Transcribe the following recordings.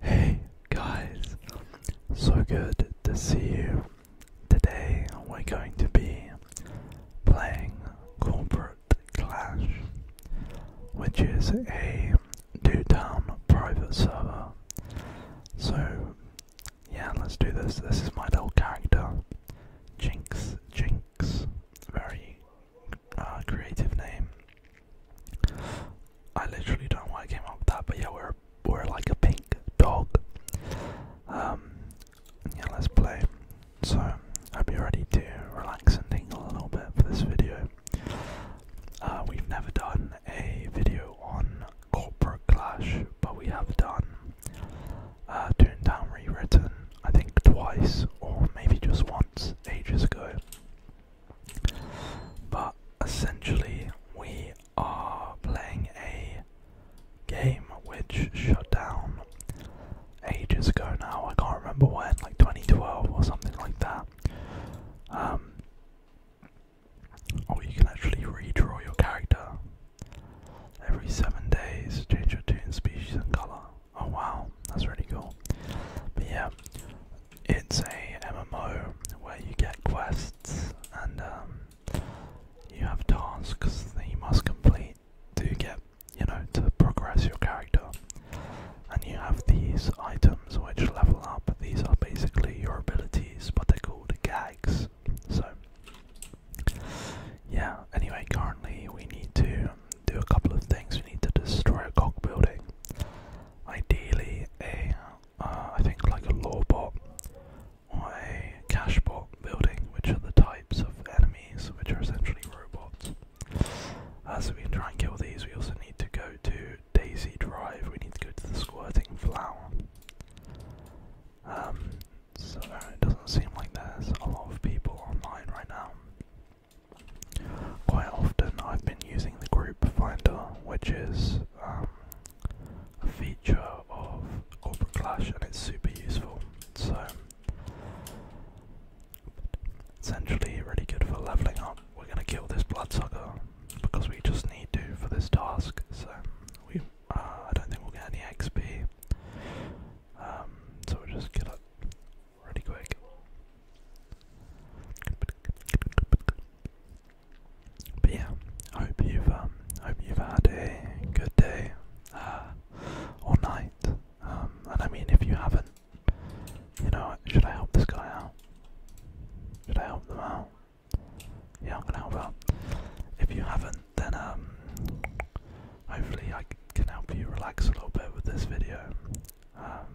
Hey guys, so good to see you. Today we're going to be playing Corporate Clash, which is a do town private server. So, yeah, let's do this. This is my little character, Jinx Jinx. Very uh, creative name. I literally don't know why I came up with that, but yeah, we're we're like a pink dog. Um, yeah, let's play. So, hope you're ready to relax and tingle a little bit for this video. Uh, we've never done a video on Corporate Clash, but we have done uh, Down Rewritten, I think twice, or maybe just once, ages ago. But essentially, we are playing a game which shut down ages ago now. I can't remember when, like 2012 or something like that. Um, or you can actually redraw your character every seven days, change your tune, species, and color. Oh wow, that's really cool. But yeah, it's a MMO where you get quests and um, you have tasks that you must complete to get, you know, to progress your character. And you have these items which level up. These are basically your abilities, but they're called gags. So, yeah, anyway, currently we need to do a couple of things. We need to destroy a cock building. Ideally, a uh, uh, I think like a law bot or a cash bot building, which are the types of enemies, which are essentially robots. Uh, so we can try and kill these. We also need to go to Daisy Drive. We need to go to the squirting flower. Um, so it doesn't seem like there's a lot of people online right now. Quite often I've been using the group finder, which is um, a feature of Corporate Clash and it's super useful. So essentially really good for leveling up. We're gonna kill this bloodsucker because we just need to for this task. So we, uh, I don't think we'll get any XP. Um, so we just kill it really quick. But yeah, I hope you've um, hope you've had a good day uh, or night. Um, and I mean, if you haven't, you know, should I help this guy out? Should I help them out? Yeah, I'm gonna help out. If you haven't, then um, hopefully I can help you relax a little bit with this video. Um,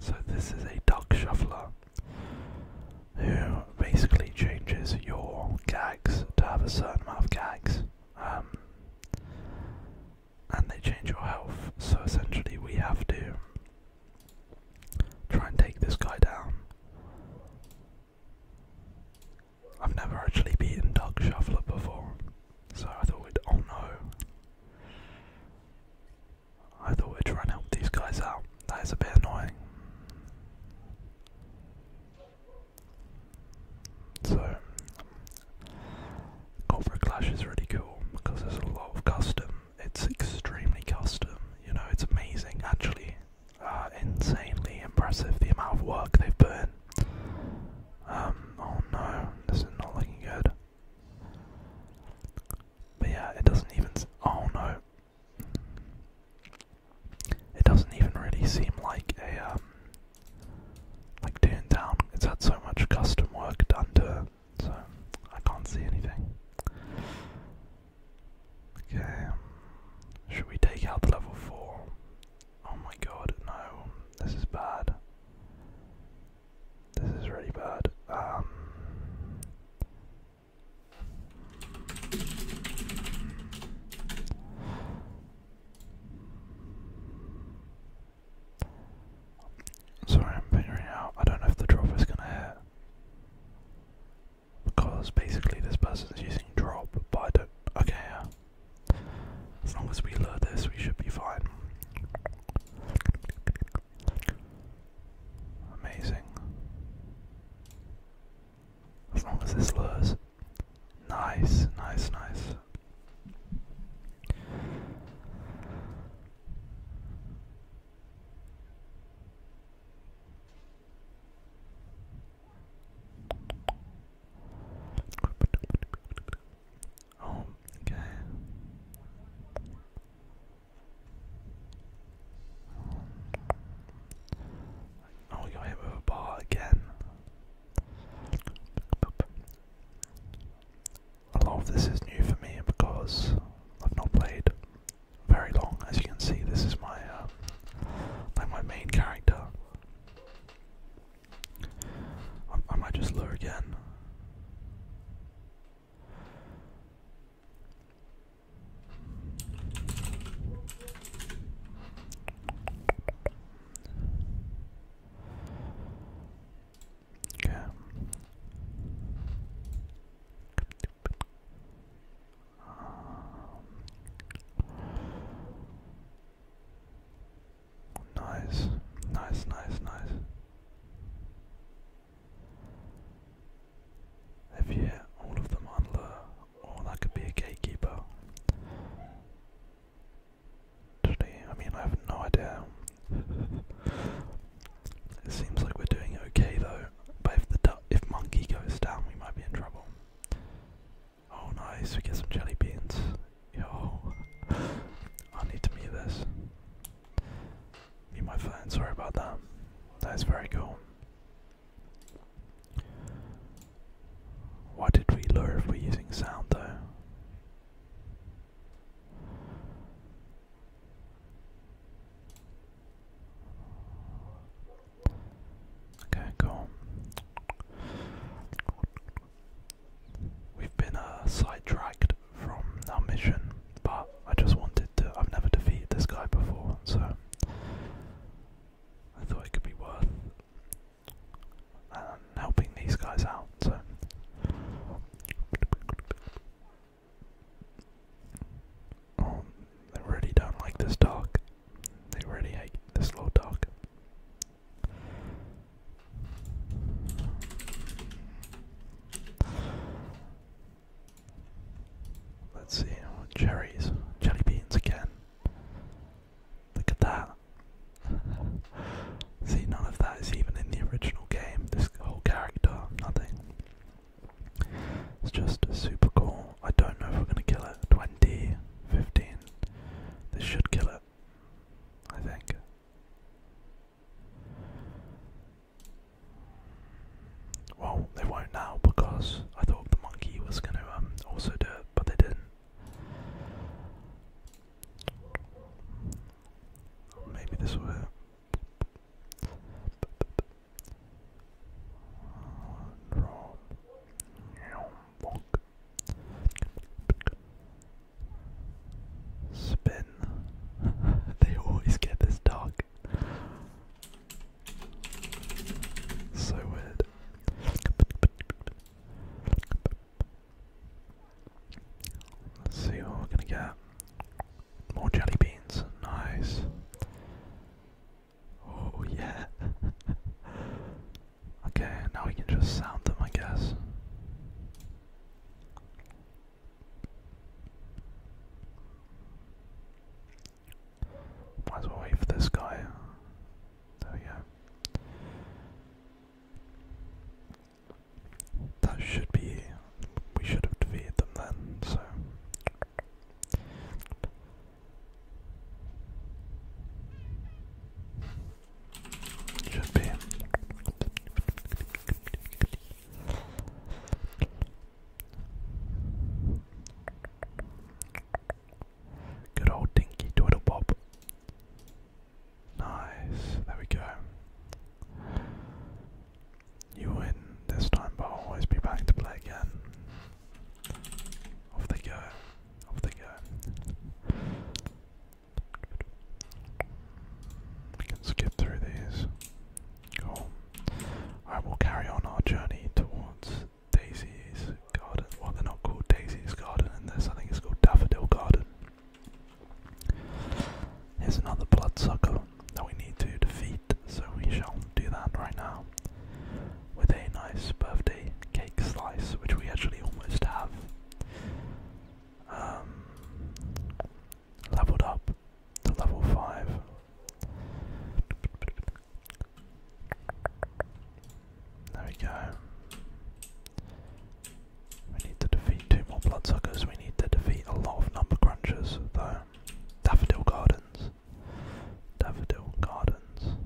so this is a duck shuffler who basically changes your gags to have a certain amount of gags. Um, and they change your health, so essentially we have to try and take this guy down. I've never actually beaten Duck Shuffler before, so I thought we'd. all oh know. I thought we'd try and help these guys out. That is a bit annoying. So, Cobra Clash is really cool because there's a lot of custom. It's extremely custom. You know, it's amazing actually. Uh, insanely impressive the amount of work they've put in. Um, oh no, this is not looking good. But yeah, it doesn't even. Oh no. It doesn't even really seem like a um, like Toontown. It's had so much custom work done to it, so I can't see anything. Okay, um, should we take out the level four? Oh my god, no! This is bad. This is really bad. Um, sorry, I'm figuring out. I don't know if the drop is gonna hit because basically this person is using drop, but I don't. Okay, yeah. As long as we learn this, we should be fine. Amazing. As long as this lures. Nice, nice, nice. Oh, okay. Oh, we got hit with a ball again. A lot of this is new for me because I've not played very long. As you can see, this is my uh, like my main character. I, might just lure again. Okay. Um, Nice, nice, nice, nice. If you hit all of them on the, or that could be a gatekeeper. I mean, I have no idea. it seems like we're doing okay though, but if the if monkey goes down, we might be in trouble. Oh, nice! We get some jelly beans. Yo, I need to mute this. Be my phone. Sorry about that. That is very cool. Why did we lure if we're using sound though? Okay, cool. We've been uh, sidetracked from our mission, but I just wanted to. I've never defeated this guy before, so I thought it could be worth um, helping these guys out. So. Oh, they really don't like this dark. They really hate this little dark. Let's see, cherries, jelly beans again. Look at that. see, none of that is even in the original game. This whole character, nothing. It's just super cool. I don't know if we're gonna kill it. 20, 15. This should kill it. I think. Well, they won't now because I thought the monkey was going to um, also do it, but they didn't. Maybe this will Spin. they always get this dark. So weird. Let's see what we're gonna get. More jelly beans. Nice. Oh yeah. okay, now we can just sound them, I guess. Might as wait for this guy. There we go. That should be. We should have defeated them then, so. Good old dinky twiddle bob. Nice. There we go. You win this time, but I'll always be back to play again. Off they go. Off they go. We can skip through these. Cool. Alright, will carry on our journey towards Daisy's Garden. Well, they're not called Daisy's Garden in this, I think it's called Daffodil Garden. There's another bloodsucker that we need to defeat, so we shall do that right now. With a nice birthday cake slice, which we actually almost have um, leveled up to level 5. There we go. We need to defeat two more bloodsuckers. We need to defeat a lot of number crunchers, though. Daffodil Gardens. Daffodil Gardens.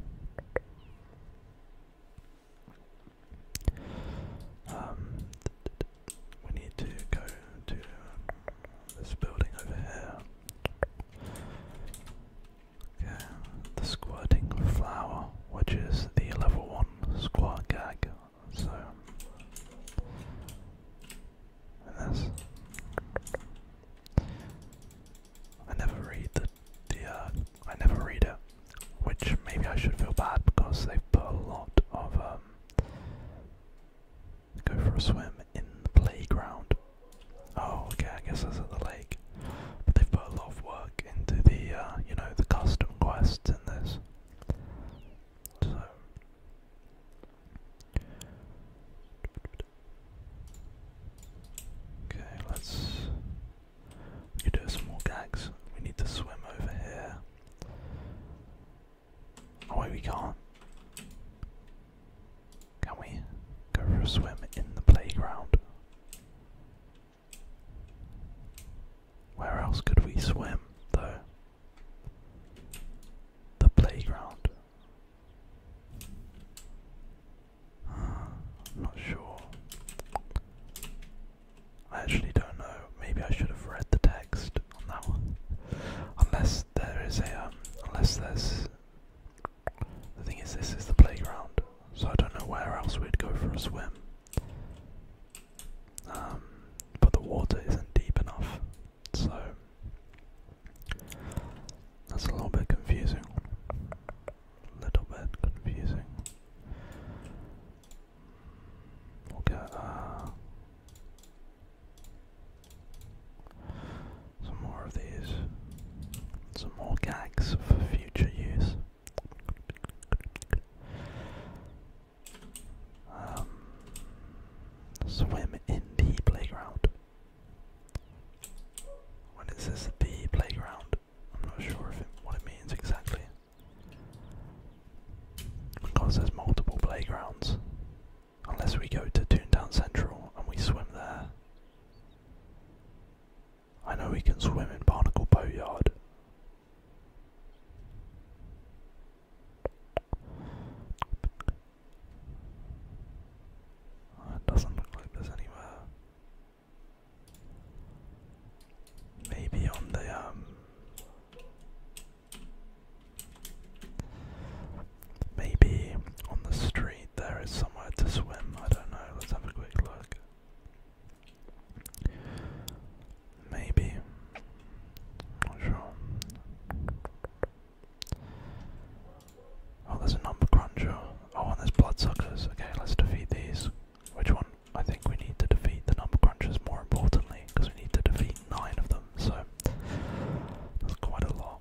Um, we need to go to um, this building over here. Okay, the squirting flower, which is the level one squirt gag. So, and I never read the uh, I never read it. Which maybe I should feel bad because they put a lot of um, go for a swim in the playground. Oh, okay, I guess that's at the lake. But they put a lot of work into the, uh, you know, the custom quests in this. Okay, let's you do some more gags. We need to swim over here. Oh wait, we can't. Can we go for a swim in the playground? Where else could we swim, though? The playground. Uh, not sure. I actually don't know. Maybe I should have read the text on that one. Unless there is a um, unless there's the thing is this is the playground, so I don't know where else we'd go for a swim. Um, but the water isn't deep enough, so that's a little bit confusing. A little bit confusing. We'll get uh, some more of these, some more gags for future use. Um, swim in the playground. When it says the playground, I'm not sure if what it means exactly. Because there's multiple playgrounds. Unless we go to Toontown Central and we swim there. I know we can swim in Barnacle Boatyard. It doesn't look like there's anywhere Maybe on the um, maybe on the street there is somewhere to swim. I don't know. Let's have a quick look. Maybe. Not sure. Oh, there's a number cruncher. Oh, and there's bloodsuckers. Okay, let's defeat these. Which one? I think we need to defeat the number crunchers more importantly, because we need to defeat nine of them, so that's quite a lot.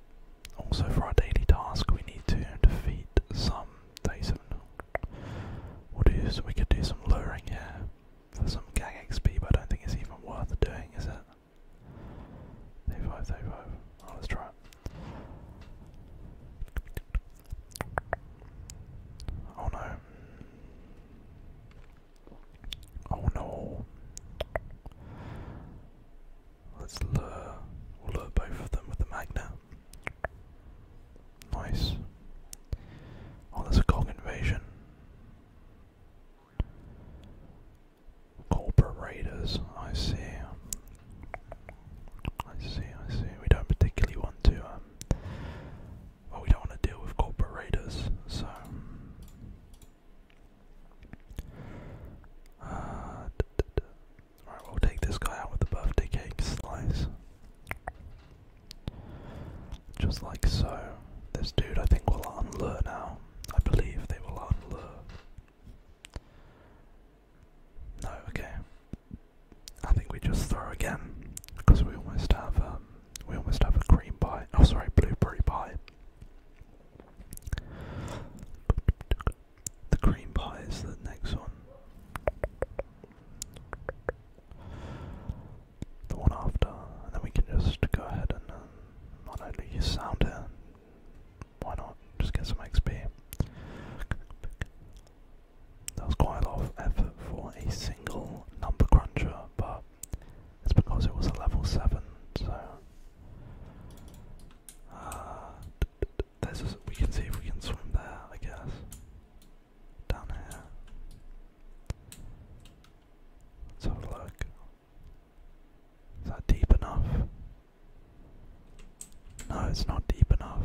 Also, for our daily task, we need to defeat some day seven. We'll do, so we could do some luring here for some gang XP, but I don't think it's even worth doing, is it? Day five, day five. Oh, let's try Oh no. Oh no. Let's lure. lure both of them with the magnet. Nice. Oh, there's a Kong invasion. Corporate raiders. I see. I see. I see. We don't particularly want to um, well, we don't want to deal with corporate so. Uh, right, we'll take this guy out with the birthday cake slice. Just like so. This dude, I think, will unlure now. I believe they will unlure. No, okay. I think we just throw again because we almost have um, we almost have a cream pie. Oh, sorry, blueberry pie. The cream pie is the next one. The one after, and then we can just go ahead and not only use sound Why not just get some XP? That was quite a lot of effort for a single number cruncher, but it's because it was a level 7, so. Uh, this is. a, we can see if we can swim there, I guess. Down here. Let's have a look. Is that deep enough? No, it's not deep enough.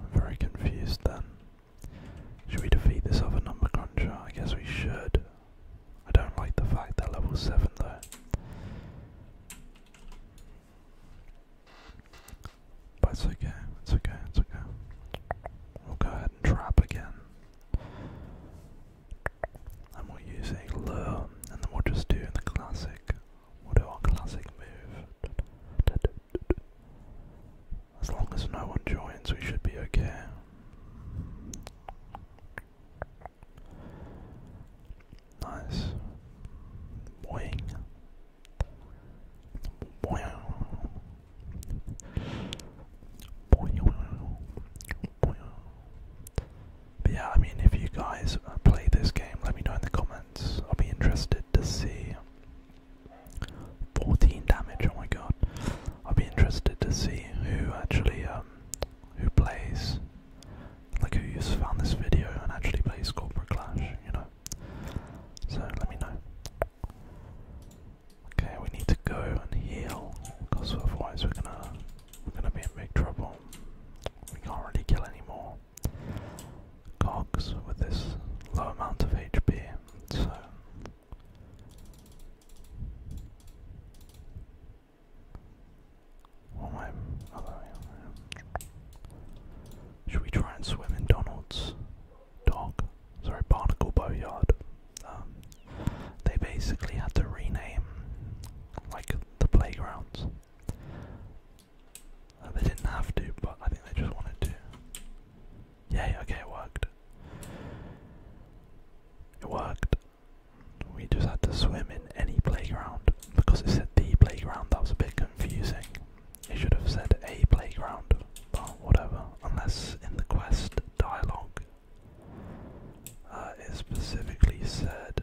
I'm very confused then. Should we defeat this other number cruncher? I guess we should. I don't like the fact that level 7 though. But it's okay, it's okay, it's okay. We'll go ahead and trap again. And we'll use a lure, and then we'll just do the classic do our classic move. As long as no one joins, we should be okay. Nice. Boing. Boing. Boing. Boing. yeah, I mean, if you guys play this game, let me know in the comments. I'll be interested to see. 14 damage, oh my god. I'll be interested to see who actually, um, who plays, like who's found this video and actually plays Corporate Clash, you know. So let me know. Okay, we need to go and heal, because otherwise we're gonna, we're gonna be in big trouble. We can't really kill anymore cogs with this low amount of HP, so oh, should we try and swim in Donald's dock? Sorry, Barnacle Boatyard. Um, they basically had to rename like the playgrounds uh, they didn't have to, but I think they just wanted to. Yay, okay, it worked. It worked. We just had to swim in any playground. Because it said the playground, that was a bit confusing. It should have said a playground, but whatever. Unless in the quest dialogue, uh, specifically said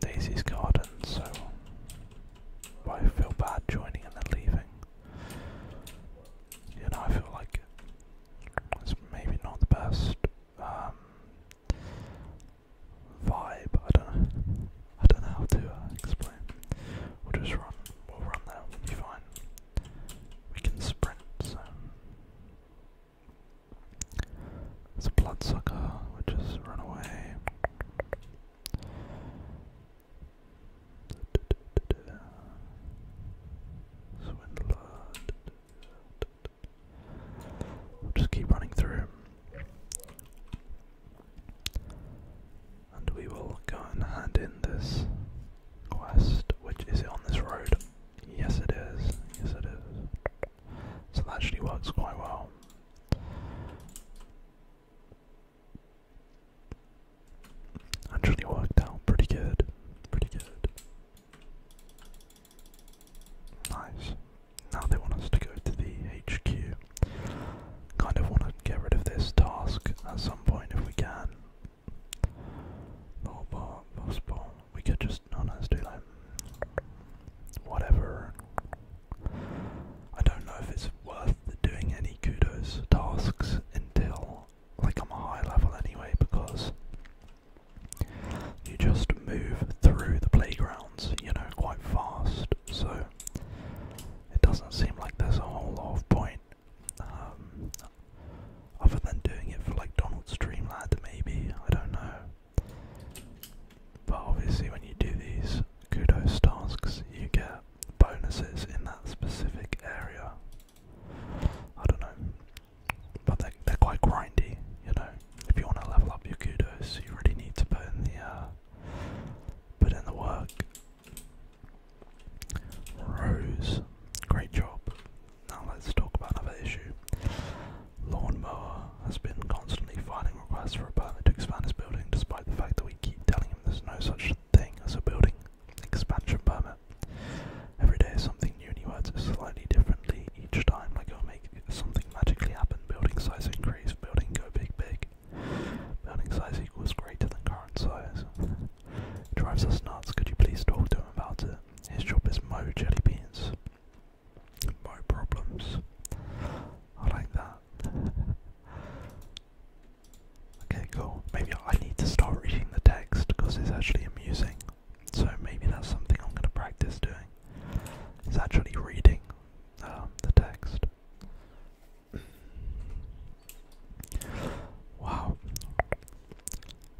Daisy's garden, so I feel bad joining and then leaving. You know, I feel like it's maybe not the best um, vibe. I don't know. I don't know how to uh, explain. We'll just run. We'll run that. We'll be fine. We can sprint. So. It's a bloodsucker, which we'll is run away. Swindler. just keep running through. And we will go and hand in this quest, which is on this road? Yes it is, yes it is. So that actually works quite well. Actually worked out pretty good. Pretty good. Nice. Now they want us to go to the HQ. Kind of want to get rid of this task at some point if we can. Oh, possible. We could just, no, no, do like whatever. I don't know if it's worth doing any kudos tasks until like I'm a high level anyway because you just move through the playgrounds, you know, quite fast, so it doesn't seem like there's a whole lot of point. Um, other than doing it for like Donald's Dreamland, maybe, I don't know. But obviously, when you do these kudos tasks, you get bonuses in that specific area. I don't know, but they're, quite grindy, you know. If you want to level up your kudos, you really need to put in the uh, put in the work. Rose, great job. Now let's talk about another issue. Lawnmower has been constantly filing requests for a permit to expand his building, despite the fact that we keep telling him there's no such thing as a building expansion permit. Every day something new he words it slightly differently each time, like it'll make something magically happen. Building size increase, building go big big. Building size equals greater than current size. drives us nuts, could you please talk to him about it? His job is Mo Jelly Beans. Mo Problems. I like that. okay, cool. Maybe I need to start reading the text because it's actually amusing. So maybe that's something I'm going to practice doing. Is actually reading um, the text. wow.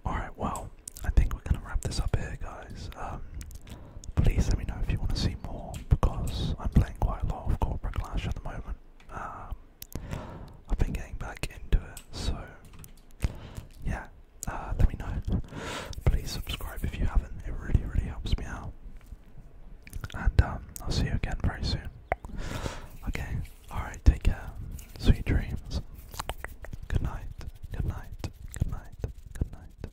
Alright, well, I think we're going to wrap this up here, guys. Um, please let me know if you want to see more because I'm playing quite a lot of Corporate Clash at the moment. Um, I've been getting back into it, so yeah, uh, let me know. Please subscribe if you haven't, it really, really helps me out. And um, I'll see you again very soon. Okay, alright, take care. Sweet dreams. Good night, good night, good night, good night, good night.